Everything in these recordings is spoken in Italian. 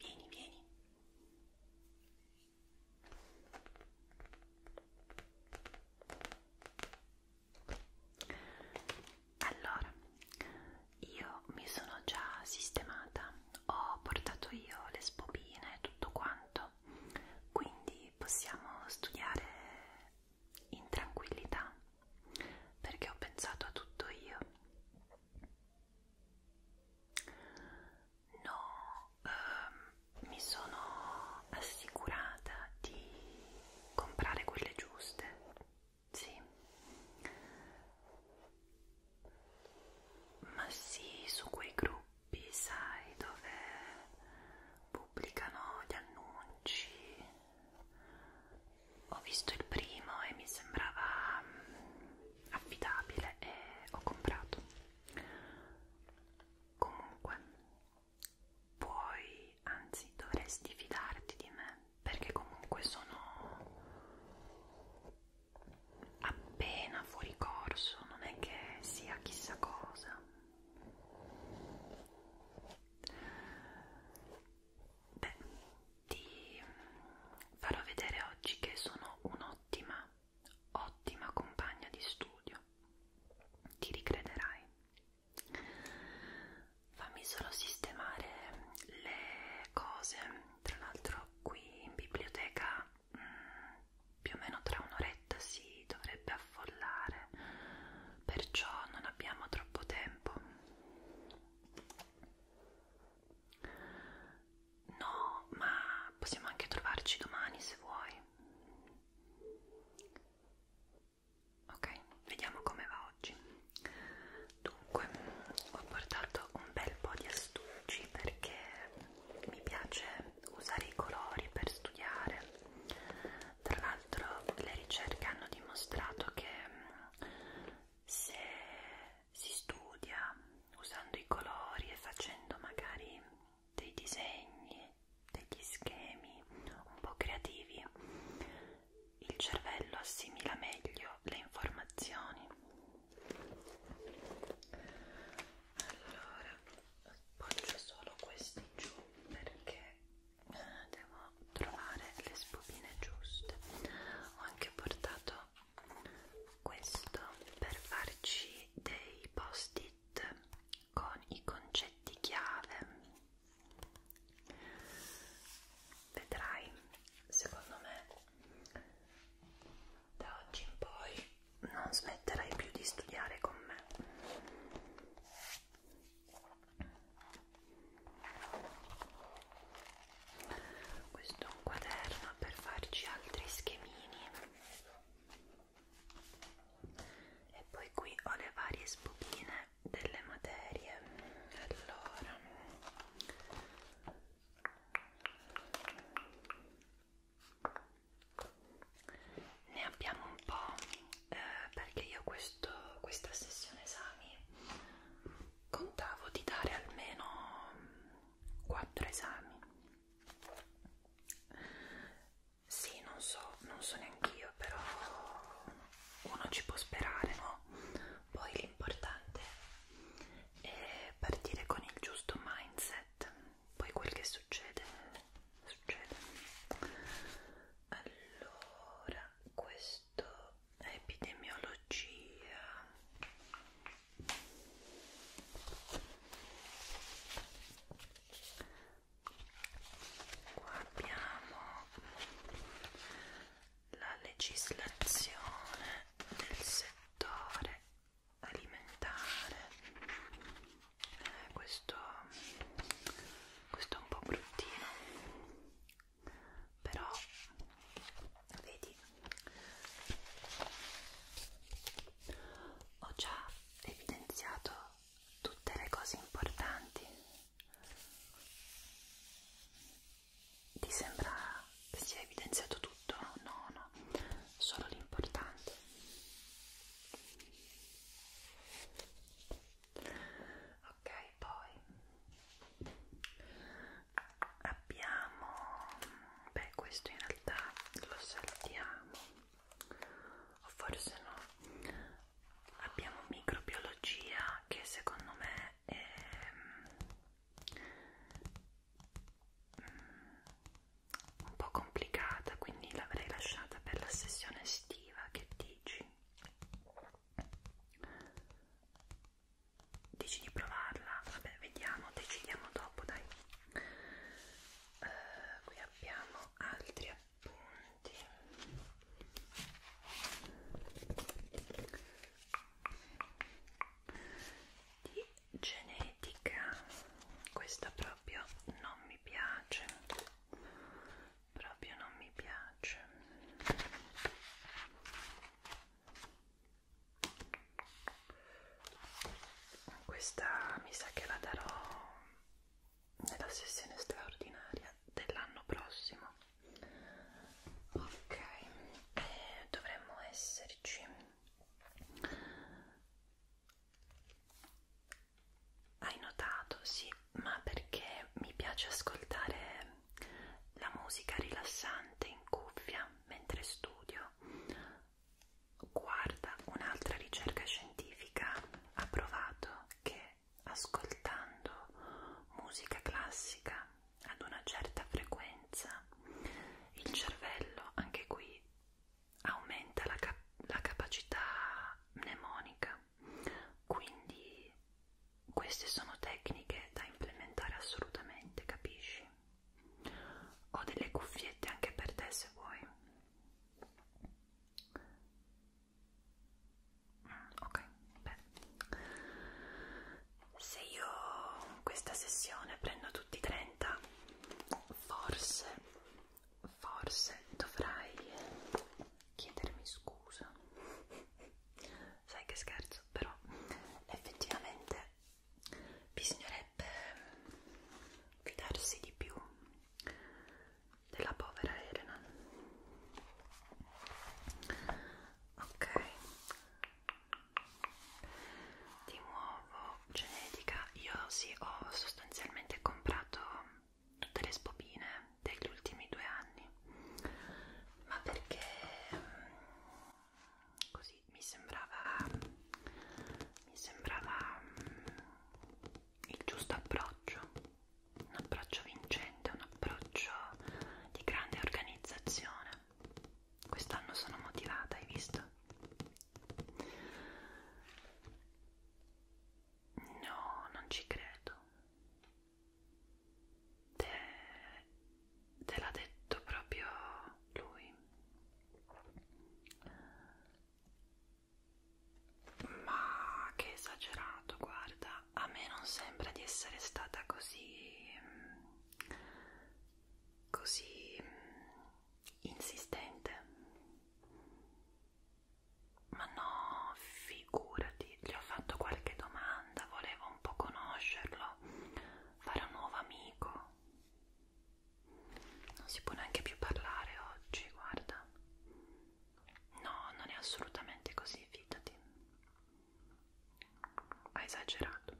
Vieni, vieni. Allora, io mi sono già sistemata, ho portato io le spobine e tutto quanto, quindi possiamo studiare in tranquillità perché ho pensato a tutto io. No, ehm, mi sono assicurata di comprare quelle giuste. Sì. Ma sì, su quei gruppi, sai, dove pubblicano gli annunci. Ho visto il primo e mi sembrava mm, affidabile e ho comprato comunque puoi anzi dovresti fidarti di me perché comunque sono appena fuori corso non è che sia chissà cosa beh ti mm, farò vedere oggi che sono un'ottima, ottima compagna di studio. Ti ricrederai. Fammi solo sistemare le cose. Tra l'altro qui in biblioteca mh, mm, più o meno tra un'oretta si dovrebbe affollare, perciò non abbiamo troppo tempo. No, ma possiamo anche trovarci domani se vuoi. Ok, vediamo come va oggi. Dunque, ho portato un bel po' di astucci perché mi piace usare i colori per studiare. Tra l'altro, le ricerche hanno dimostrato che mm, se si studia usando i colori e facendo magari dei disegni, degli schemi un po' creativi, il cervello assimila meglio le informazioni. Allora, appoggio solo questi giù perché eh, devo trovare le spugine giuste. Ho anche portato questo per farci dei post-it con i concetti chiave vedrai secondo me da oggi in poi non smetterai più di studiare con me questo è un quaderno per farci altri schemini e poi qui ho le varie spugine delle materie allora ne abbiamo un po' eh, perché io questo, questa sessione esami contavo di dare almeno quattro esami sì non so non so neanche io però uno ci può sperare no poi l'importante è partire con il giusto mindset poi quel che succede succede allora questo epidemiologia qua abbiamo la legislazione del settore alimentare eh, questo questo è un po' bruttino però vedi ho già evidenziato tutte le cose importanti ti sembra che sia evidenziato tutto? no no solo l'importante ok poi abbiamo beh questo in realtà lo saltiamo o forse no abbiamo microbiologia che secondo me è mm, un po' complicata quindi l'avrei lasciata per la sessione estiva che dici dici di provarla? Vabbè, vediamo, decidiamo dopo, dai. Uh, qui abbiamo altri appunti. Di genetica, questa proprio non mi piace. Proprio non mi piace questa mi sa che la darò nella sessione straordinaria dell'anno prossimo ok e dovremmo esserci hai notato sì ma perché mi piace ascoltare la musica rilassante in cuffia mentre studio. Guarda, un'altra ricerca scientifica ha provato che ascoltando musica classica ad una certa frequenza il cervello, anche qui, aumenta la, cap la capacità mnemonica, quindi queste sono tecniche da implementare assolutamente, capisci? Ho delle cuffiette anche per te se vuoi. Mm, ok, beh. Se io in questa sessione prendo tutti 30, forse, forse dovrai chiedermi scusa. Sai che scherzo? preso però effettivamente bisognerebbe fidarsi di più della povera Elena ok di nuovo genetica io sì ho sostanzialmente comprato tutte le sbobine degli ultimi due anni ma perché mm, così mi sembrava mi sembrava mm, il giusto approccio un approccio vincente un approccio di grande organizzazione quest'anno sono motivata hai visto no non ci credo te, te l'ha detto proprio lui ma che esagerato guarda a me non sembra di essere stata così mm, così mm, insistente ma no figurati quindi gli ho fatto qualche domanda, volevo un po' conoscerlo, fare un nuovo amico. Non si può neanche più parlare oggi, guarda. No, non è assolutamente così, fidati. Ha esagerato.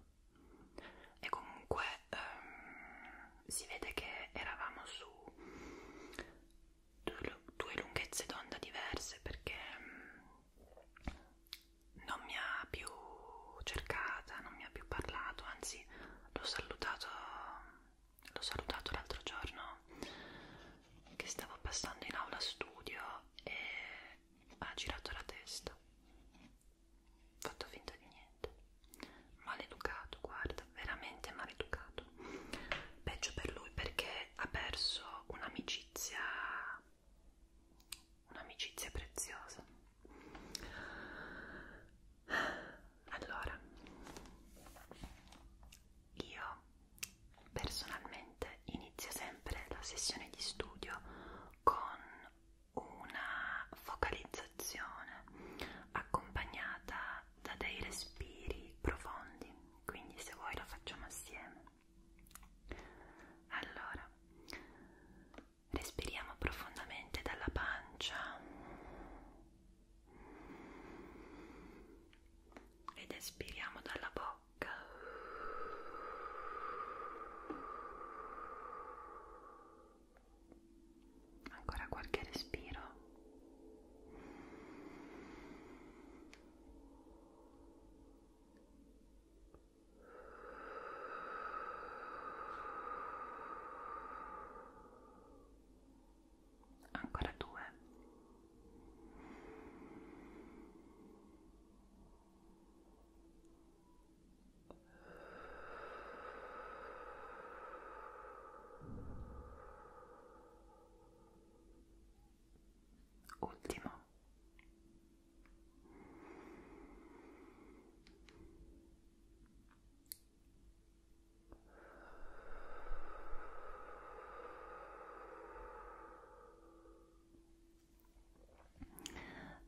E comunque ehm, si vede che eravamo su due lunghezze d'onda diverse perché non mi ha più cercata, non mi ha più parlato, anzi l'ho salutato l'ho salutato l'altro giorno che stavo passando in aula studio e ha girato la testa fatto finta di niente maleducato guarda veramente maleducato peggio per lui perché ha perso un'amicizia un'amicizia preziosa allora io personalmente inizio sempre la sessione di studio con una focalizzazione accompagnata da dei respiri profondi quindi se vuoi lo facciamo assieme allora respiriamo profondamente dalla pancia ed espiriamo dalla bocca ancora qualche respiro ancora due ultimo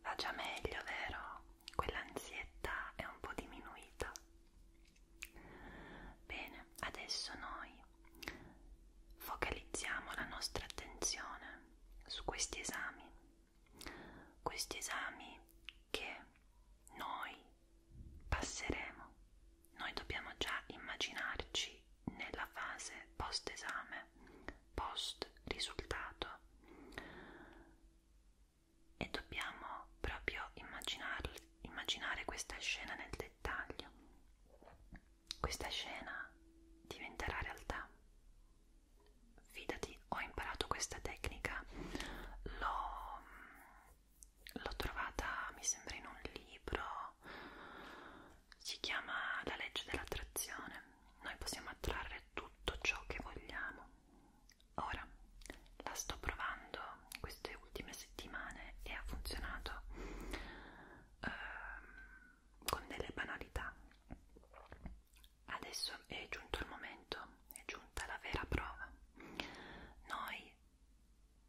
va già meglio vero quell'ansietà è un po' diminuita bene adesso noi Focalizziamo la nostra attenzione su questi esami, questi esami che noi passeremo. Noi dobbiamo già immaginarci nella fase post esame, post risultato e dobbiamo proprio immaginare questa scena nel dettaglio questa scena diventerà realtà. Fidati, ho imparato questa tecnica, l'ho trovata, mi sembra, in un libro, si chiama La legge dell'attrazione. Noi possiamo attrarre tutto ciò che vogliamo. Ora la sto provando queste ultime settimane e ha funzionato ehm, con delle banalità. Adesso è giunto il momento, è giunta la vera prova. Noi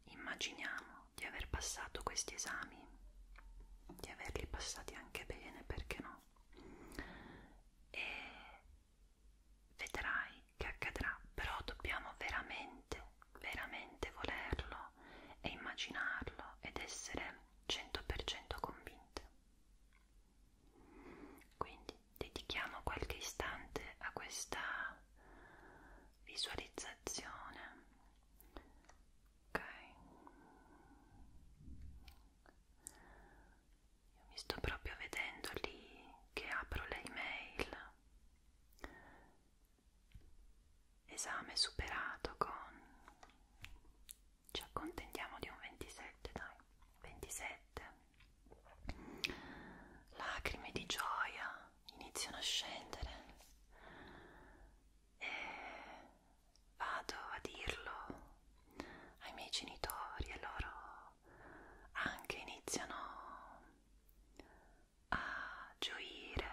immaginiamo di aver passato questi esami, di averli passati anche bene, perché no? E vedrai che accadrà, però dobbiamo veramente veramente volerlo e immaginarlo ed essere 100% convinte. Quindi dedichiamo qualche istante a questa visualizzazione. Ok. Io mi sto proprio vedendo lì che apro le email Esame superato con... ci accontentiamo di un 27, dai, 27. Lacrime di gioia iniziano a scendere e vado a dirlo ai miei genitori e loro anche iniziano a gioire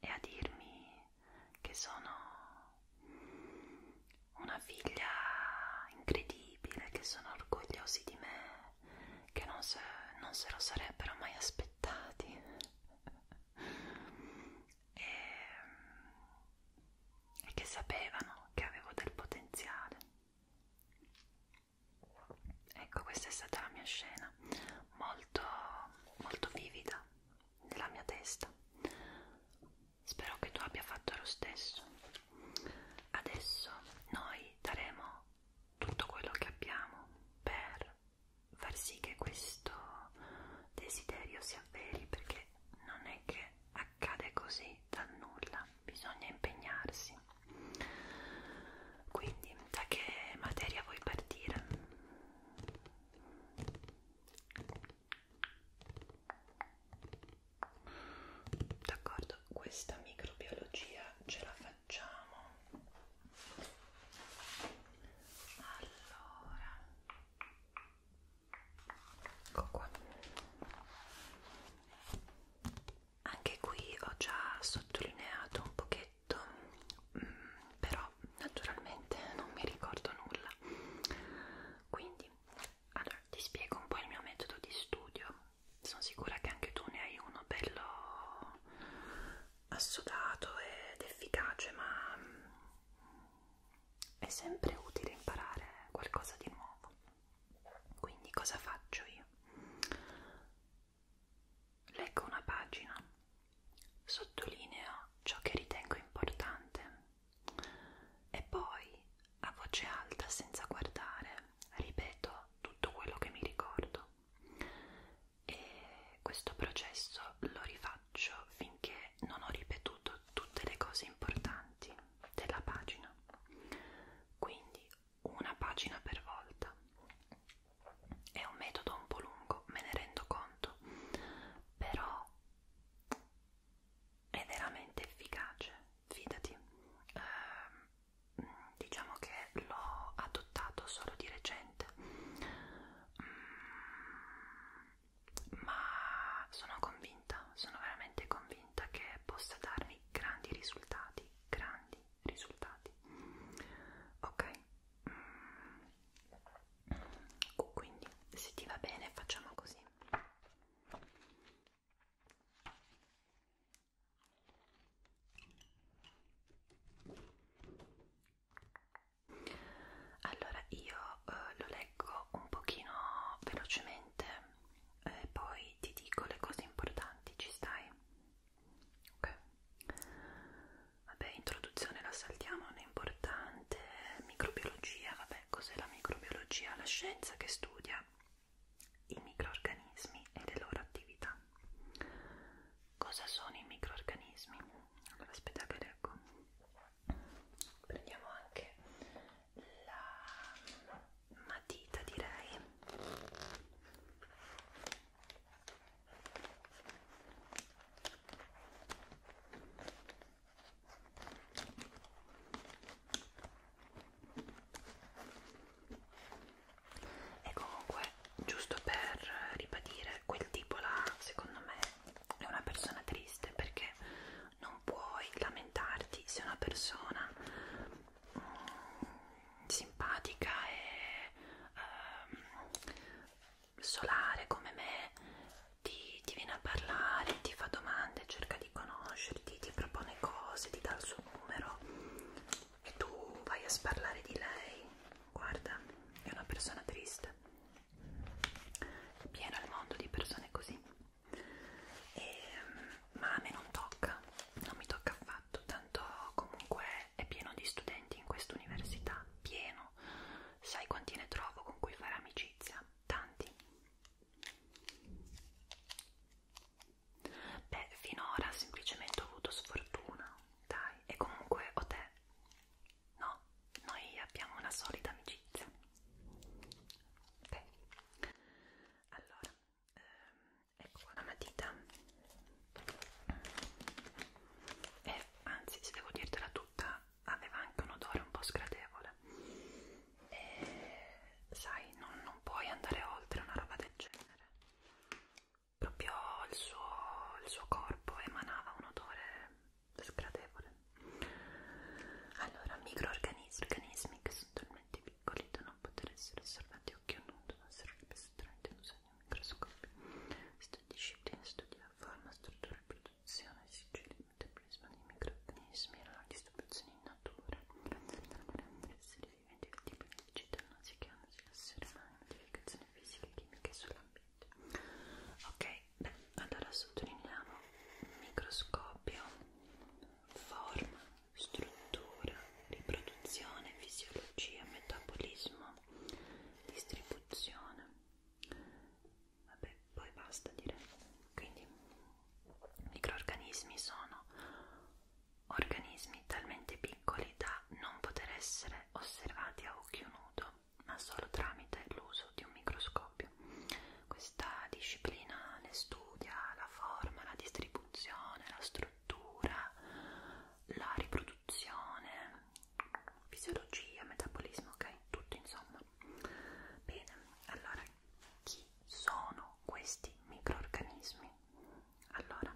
e a dirmi che sono una figlia incredibile, che sono orgogliosi di me, che non se, non se lo sarebbero mai aspettati. e, e che sapevano che avevo del potenziale. Ecco, questa è stata la mia scena molto, molto vivida nella mia testa. Spero che tu abbia fatto lo stesso. Adesso noi daremo tutto quello che abbiamo per far sì che questo desiderio si avveri perché non è che accade così dal nulla, bisogna impegnarsi. Quindi, da che materia vuoi partire? D'accordo, questa microbiologia ce la facciamo. Allora, ecco qua. Anche qui ho già sottolineato un pochetto detto mm, però naturalmente non mi ricordo nulla quindi allora ti spiego un po' il mio metodo di studio sono sicura che anche tu ne hai uno bello assodato ed efficace ma mm, è sempre utile imparare qualcosa di nuovo quindi cosa faccio io Leggo una pagina, sottolineo ciò che ritengo importante e poi, a voce alta, senza guardare, ripeto tutto quello che mi ricordo. E questo processo lo rifaccio finché non ho ripetuto tutte le cose importanti della pagina. Quindi una pagina per volta. È un metodo un po' lungo, me ne rendo conto, però è veramente efficace, fidati. Eh, diciamo che l'ho adottato solo di recente, mm, ma sono convinta, sono veramente convinta che possa darmi grandi risultati, grandi, risultati ok mm. quindi se ti va bene facciamo così allora io eh, lo leggo un pochino velocemente e eh, poi ti dico le cose importanti, ci stai? ok vabbè introduzione la saltiamo non è importante microbiologia vabbè cos'è la microbiologia la scienza che studia i microorganismi e le loro attività cosa sono i microorganismi allora aspetta che leggo prendiamo anche la matita direi e comunque, giusto per ribadire, quel tipo là, secondo me, è una persona triste perché non puoi lamentarti se una persona simpatica e um, solare come me ti, ti viene a parlare, ti fa domande, cerca di conoscerti, ti propone cose, ti dà il suo numero e tu vai a sparlare di lei. Guarda, è una persona triste, pieno al mondo di persone così. E, ehm, ma a me non tocca, non mi tocca affatto esatto, tanto comunque è pieno di studenti in questa università, pieno, sai quanti ne trovo con cui fare amicizia, tanti. Beh, finora semplicemente ho avuto sfortuna, dai, e comunque ho te. No, noi abbiamo una solida amicizia. Beh, allora, ehm, ecco qua la matita e anzi se devo dirtela tutta aveva anche un odore un po' sgradevole e sai non, non puoi andare oltre una roba del genere proprio il suo, il suo corpo emanava un odore sgradevole allora microorganismi organismi che sono talmente piccoli da non poter essere osservati che non devono essere rappresentanti in un segno microscopio. Questa disciplina studia forma, struttura e produzione, sigilli, il metabolismo dei microorganismi, la distribuzione in natura, rendere esseri viventi che tipo di cittadinanza che hanno sull'essere umano, modificazioni fisiche, chimiche e sull'ambiente. Ok, beh, allora sottolineiamo microscopio, forma, struttura, riproduzione, fisiologia, metabolismo, distribuzione. Vabbè, poi basta dire. Quindi microorganismi sono organismi talmente piccoli da non poter essere osservati a occhio nudo, ma solo tramite l'uso di un microscopio. Questa disciplina ne studia la forma, la distribuzione, la struttura scrittura, la riproduzione, fisiologia, metabolismo, ok? Tutto insomma. Bene, allora chi sono questi microorganismi? Allora,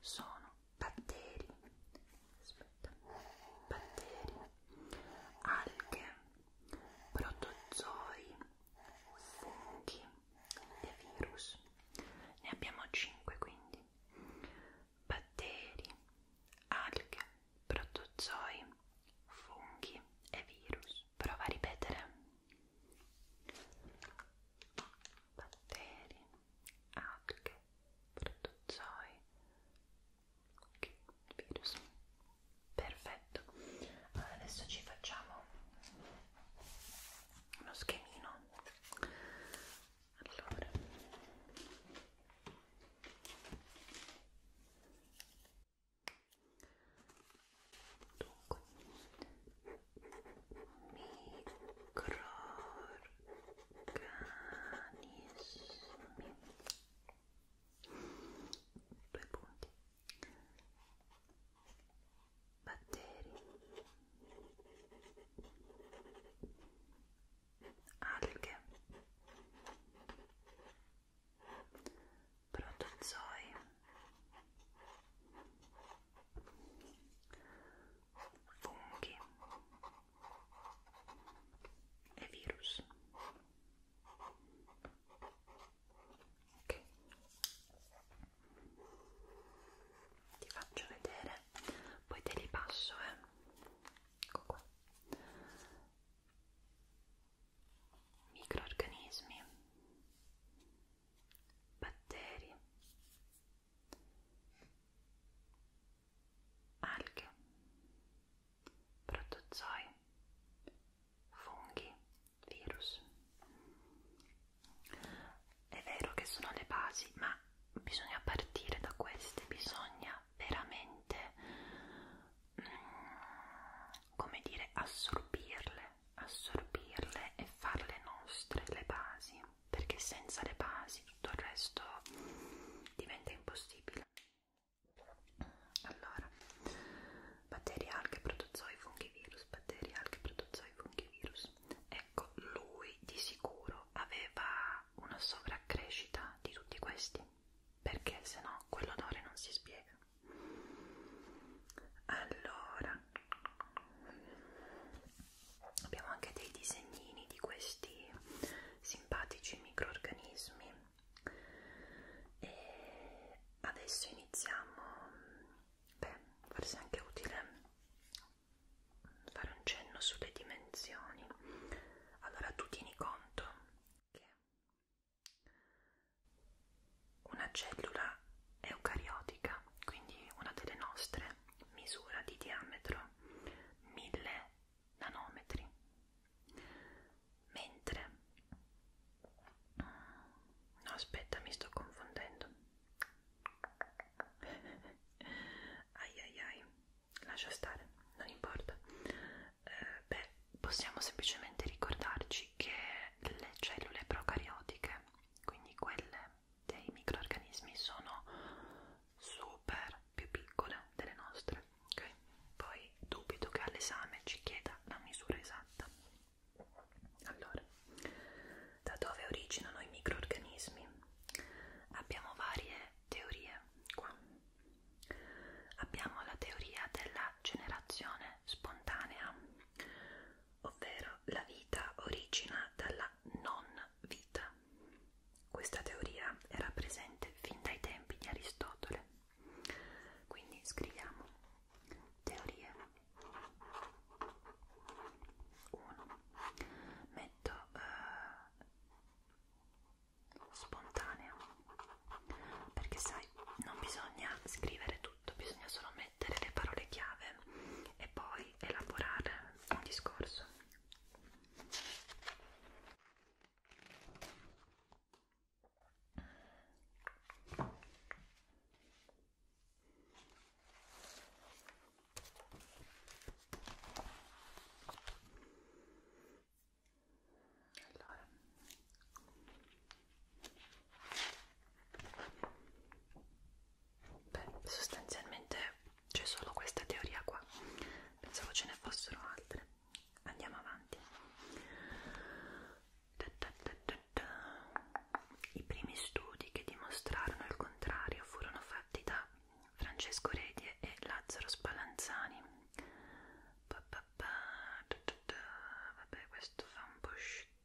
sono batteri, aspetta, batteri, alghe, protozoi, funghi, di virus, ne abbiamo 5 quindi, batteri, alghe, protozoi, funghi e virus. Prova a ripetere. Batteri, alghe, protozoi, okay, virus. Perfetto. Allora adesso ci facciamo uno schemino allora dunque microorganismi due punti batteri, alghe, protozoi, funghi e virus. Okay ti faccio vedere poi te li passo eh. ecco qua microorganismi batteri alghe protozoi funghi virus. È vero che sono le basi, ma bisogna partire da queste, bisogna veramente, mm, come dire, assorbirle, assorbirle e farle nostre le basi, perché senza le basi tutto il resto diventa impossibile. Allora, batteri, alghe, protozoi, funghi, virus virus batteriale che produceva i funghivirus. Ecco, lui di sicuro aveva una sovraccrescita di tutti questi, perché se no quell'odore non si spiega. Allora, abbiamo anche dei disegnini di questi simpatici microorganismi e adesso iniziamo Beh, forse è anche utile fare un cenno sulle dimensioni. Allora tu tieni conto che una cellula eucariotica, quindi una delle nostre, misura di diametro 1000 nanometri, mentre... No, aspetta, mi sto confondendo. ai ai ai, lascia stare, non importa. Eh, beh, possiamo semplicemente ricordarci che le cellule procariotiche, quindi quelle dei microorganismi, sono super più piccole delle nostre. Ok, poi dubito che all'esame ci chieda la misura esatta. Allora, da dove originano i microorganismi? Abbiamo varie teorie qua. Abbiamo la teoria della generazione spontanea, ovvero la vita origina dalla non vita. Questa teoria era presente fin dai tempi di Aristotele. Quindi scriviamo Teorie 1. Metto eh, spontanea perché sai, non bisogna scrivere tutto, bisogna solo mettere le parole chiave e poi elaborare un discorso allora beh sostanzialmente c'è solo questa teoria qua pensavo ce ne fossero altre andiamo avanti da da da da. I primi studi che dimostrarono il contrario furono fatti da Francesco Redie e Lazzaro Spallanzani. Pa, pa, pa, da, da, da. Vabbè, questo fa un po'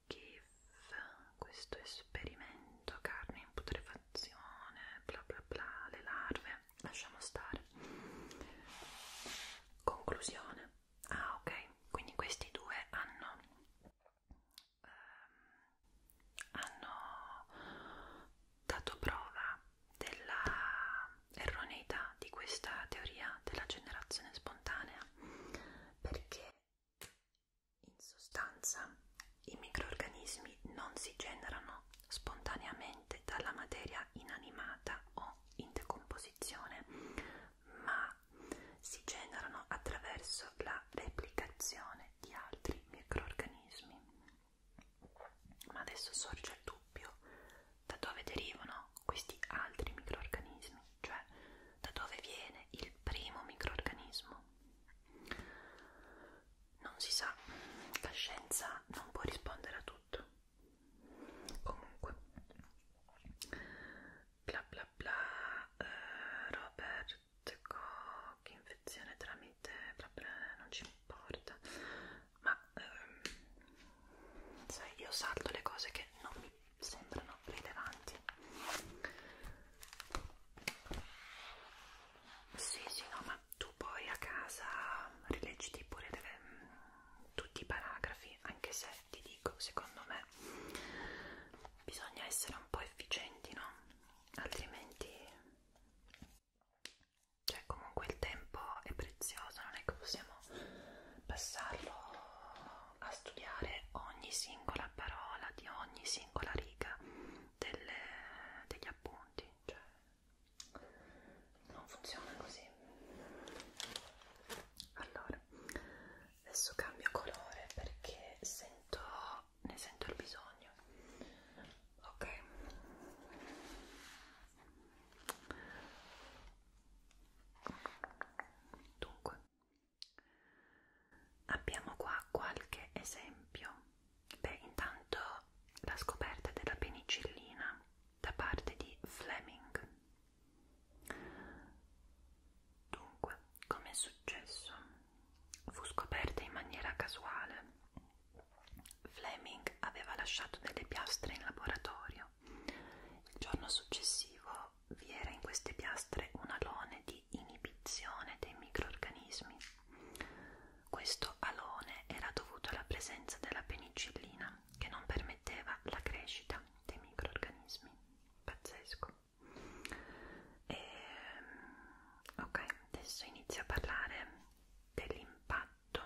schifo, questo esperimento, carne in putrefazione, bla bla bla, le larve, lasciamo stare. Conclusione. Ah, ok, quindi questi due hanno, ehm, hanno dato prova della erroneità di questa teoria della generazione spontanea perché in sostanza i microorganismi non si generano spontaneamente dalla materia inanimata o in decomposizione ma si generano attraverso la replicazione di altri microorganismi. Ma adesso sorge il dubbio, da dove derivano questi altri microorganismi? Cioè, da dove viene il primo microorganismo? Non si sa, la scienza non può rispondere a tutto. Comunque, bla bla bla eh, Robert Koch infezione tramite bla bla non ci importa ma ehm, sai io salto le cose che non mi sembrano rilevanti sì sì no ma tu poi a casa rileggiti pure deve, mm, tutti i paragrafi anche se perché ti dico, secondo me bisogna essere un po' efficienti, no? Altrimenti cioè comunque il tempo è prezioso, non è che possiamo passarlo a studiare ogni singola parola di ogni singola riga delle, degli appunti, cioè non funziona così. Allora, adesso cambio colore perché sento ne sento il bisogno ok dunque abbiamo qua qualche esempio beh intanto la scoperta della penicillina da parte di Fleming Dunque, come è successo? Fu scoperta in maniera casuale. Fleming aveva lasciato delle piastre in laboratorio. Il giorno successivo vi era in queste piastre un alone di inibizione dei microorganismi. Questo alone era dovuto alla presenza della penicillina che non permetteva la crescita dei microorganismi pazzesco e, ehm, ok adesso inizio a parlare dell'impatto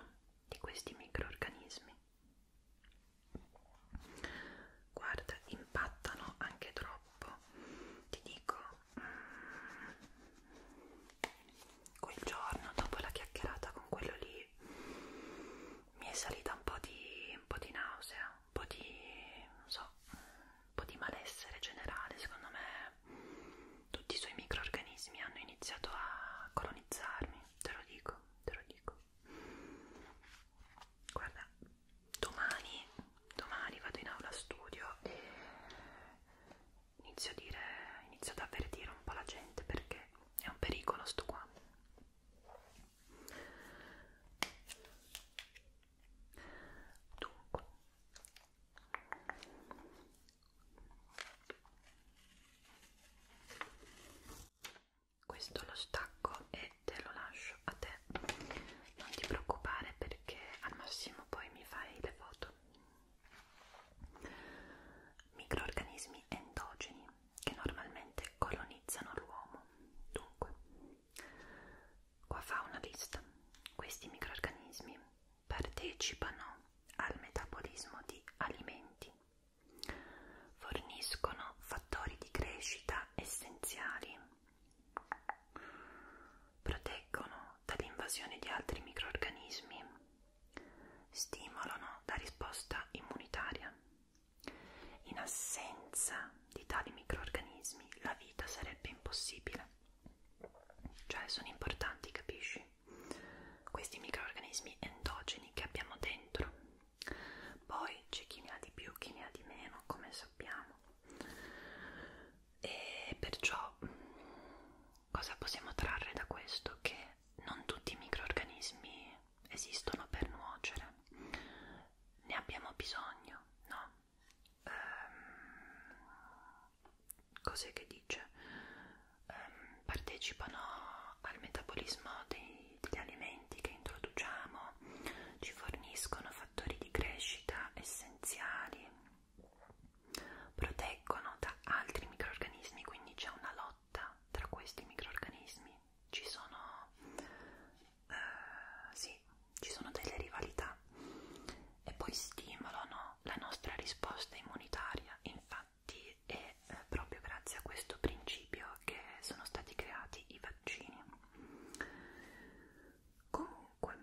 di questi microorganismi guarda impattano anche troppo ti dico mm, quel giorno dopo la chiacchierata con quello lì mi è salita un po' di, un po di nausea, un po' di, non so, un po' di malessere generale, secondo me tutti i suoi microorganismi hanno iniziato a colonizzarmi, te lo dico, te lo dico. Guarda, domani, domani vado in aula studio e inizio a dire, inizio ad avvertire un po' la gente perché è un pericolo sto qua, Dunque. Questo lo stacco e te lo lascio a te. Non ti preoccupare perché al massimo poi mi fai le foto. Microorganismi endogeni che normalmente colonizzano l'uomo. Dunque, qua fa una lista. Questi microrganismi partecipano al metabolismo di alimenti, forniscono fattori di crescita essenziali, proteggono dall'invasione di altri microrganismi, stimolano la risposta immunitaria, in assenza di tali microorganismi la vita sarebbe impossibile. Cioè sono importanti, capisci? Questi microorganismi endogeni che abbiamo dentro. Poi c'è chi ne ha di più, chi ne ha di meno, come sappiamo. E perciò cosa possiamo trarre da questo? Che non tutti i microorganismi esistono per nuocere, ne abbiamo bisogno, no? Ehm, cos'è che dice? Ehm, partecipano al metabolismo dei, degli alimenti che introduciamo, ci forniscono fattori di crescita essenziali, proteggono da altri microrganismi, quindi c'è una lotta lotta tra questi microorganismi, ci sono, eh, sì, ci sono delle rivalità e poi stimolano la nostra risposta immunitaria. Infatti è eh, proprio grazie a questo principio che sono stati creati i vaccini. Comunque,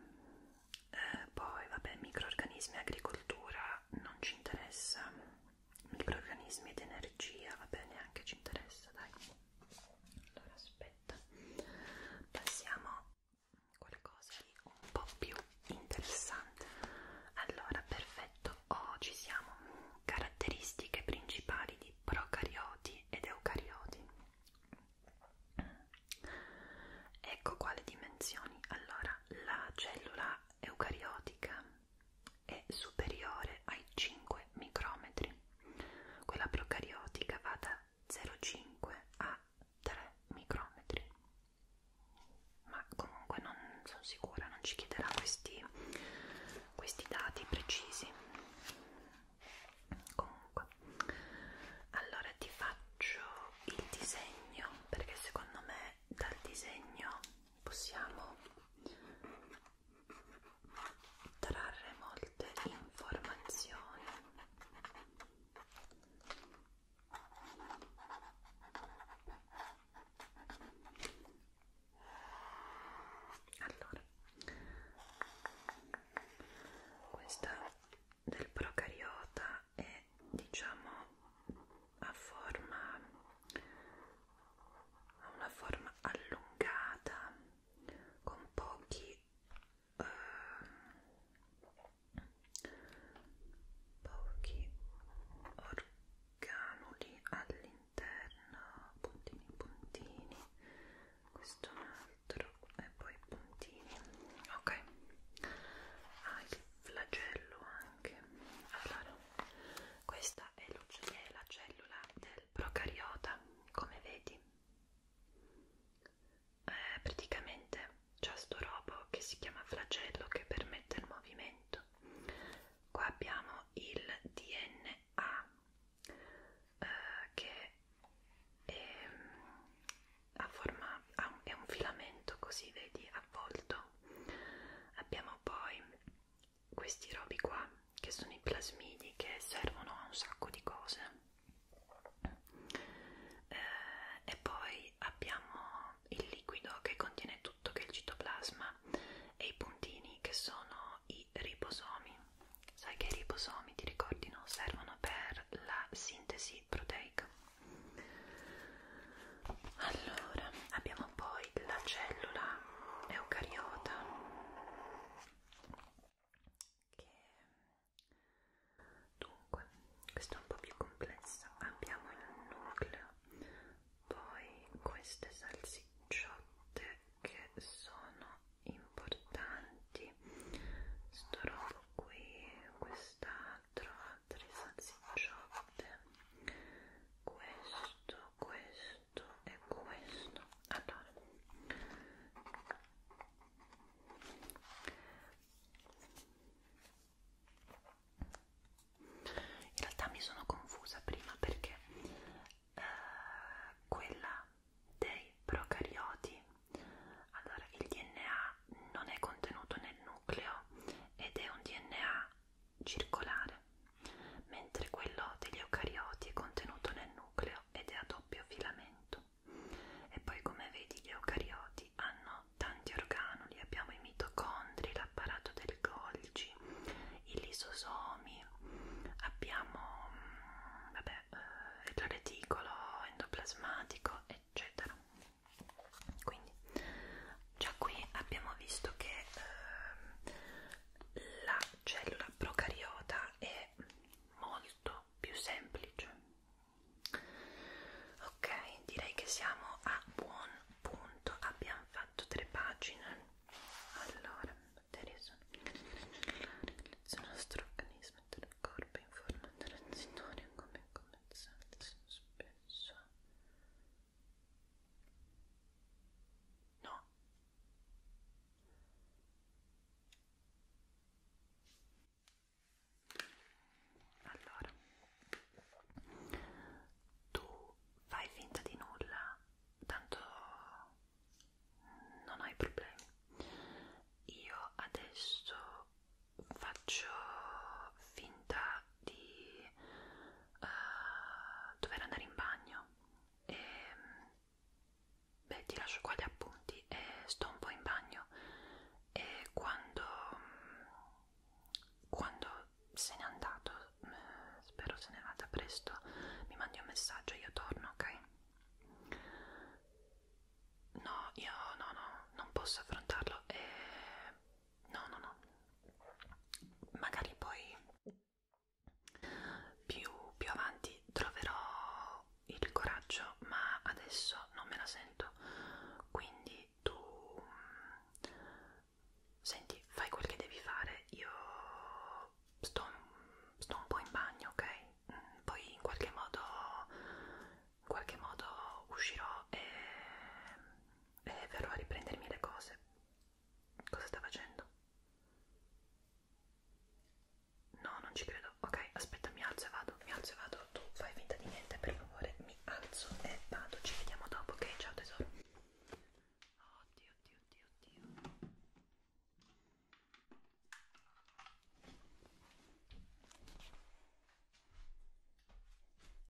eh, poi vabbè, microorganismi e agricoltura non ci interessa microorganismi ed energia, va bene, anche ci interessa, dai. Allora aspetta, passiamo a qualcosa di un po' più interessante. Allora, perfetto, oggi oh, siamo caratteristiche principali di procarioti ed eucarioti. Ecco quale dimensioni. Allora, la cellula eucariotica è superiore ai 5 micrometri, quella procariotica va da 0,5 a 3 micrometri. Ma comunque non sono sicura, non ci chiederà questi, questi dati precisi. Comunque, allora ti faccio il disegno perché secondo me dal disegno possiamo trarre molte informazioni allora questa del procariota è diciamo a forma ha una forma allungata con pochi eh, pochi organuli all'interno puntini puntini questo è un altro e poi puntini ok ha ah, il flagello anche allora questa è, è la cellula del procariota come vedi eh, praticamente c'è sto robo che si chiama flagello che permette il movimento qua abbiamo il DNA eh, che è, a forma, ha un, è un filamento così vedi avvolto abbiamo poi questi robi qua che sono i plasmidi che servono a un sacco di cose eh, e poi abbiamo il liquido che contiene tutto che è il citoplasma e i puntini che sono i ribosomi sai che i ribosomi ti ricordi no? servono per la sintesi proteica allora, abbiamo poi la cellula eucariota che dunque, questo è un po' più complesso. Abbiamo il nucleo, poi queste salsicciotte che sono importanti. Sto robo qui, quest'altro, altre salsicciotte questo, questo e questo. Allora, in realtà mi sono confusa prima perché eh, quella dei procarioti, allora il DNA non è contenuto nel nucleo ed è un DNA circolare, mentre quello degli eucarioti è contenuto nel nucleo ed è a doppio filamento. E poi come vedi gli eucarioti hanno tanti organoli, abbiamo i mitocondri, l'apparato del Golgi, i lisosomi, abbiamo mm, vabbè, eh, il reticolo endoplasmatico, eccetera quindi già qui abbiamo visto che eh, la cellula procariota è molto più semplice ok direi che siamo a buon punto abbiamo fatto tre pagine allora materia il nostro organismo del corpo in forma transitoria come come spesso No. Allora, tu fai finta di nulla, tanto non hai problemi. Io adesso faccio finta di uh, dover andare in bagno e beh ti lascio qua gli appunti e sto un po' in bagno e quando quando se n'è andato mm, spero se ne vada presto mi mandi un messaggio io torno ok no io no no non posso affrontarlo e no no no magari poi più, più avanti troverò il coraggio ma adesso non me la sento quindi tu mm, senti fai quel che devi fare io sto, sto un po' in bagno ok mm, poi in qualche modo in qualche modo uscirò e e eh, verrò a riprendermi le cose. Cosa sta facendo? No, non ci credo. Ok, aspetta, mi alzo e vado. Mi alzo e vado. Tu fai finta di niente, per favore. Mi alzo e vado. Ci vediamo dopo, ok? Ciao tesoro. Oddio, oddio, oddio, oddio.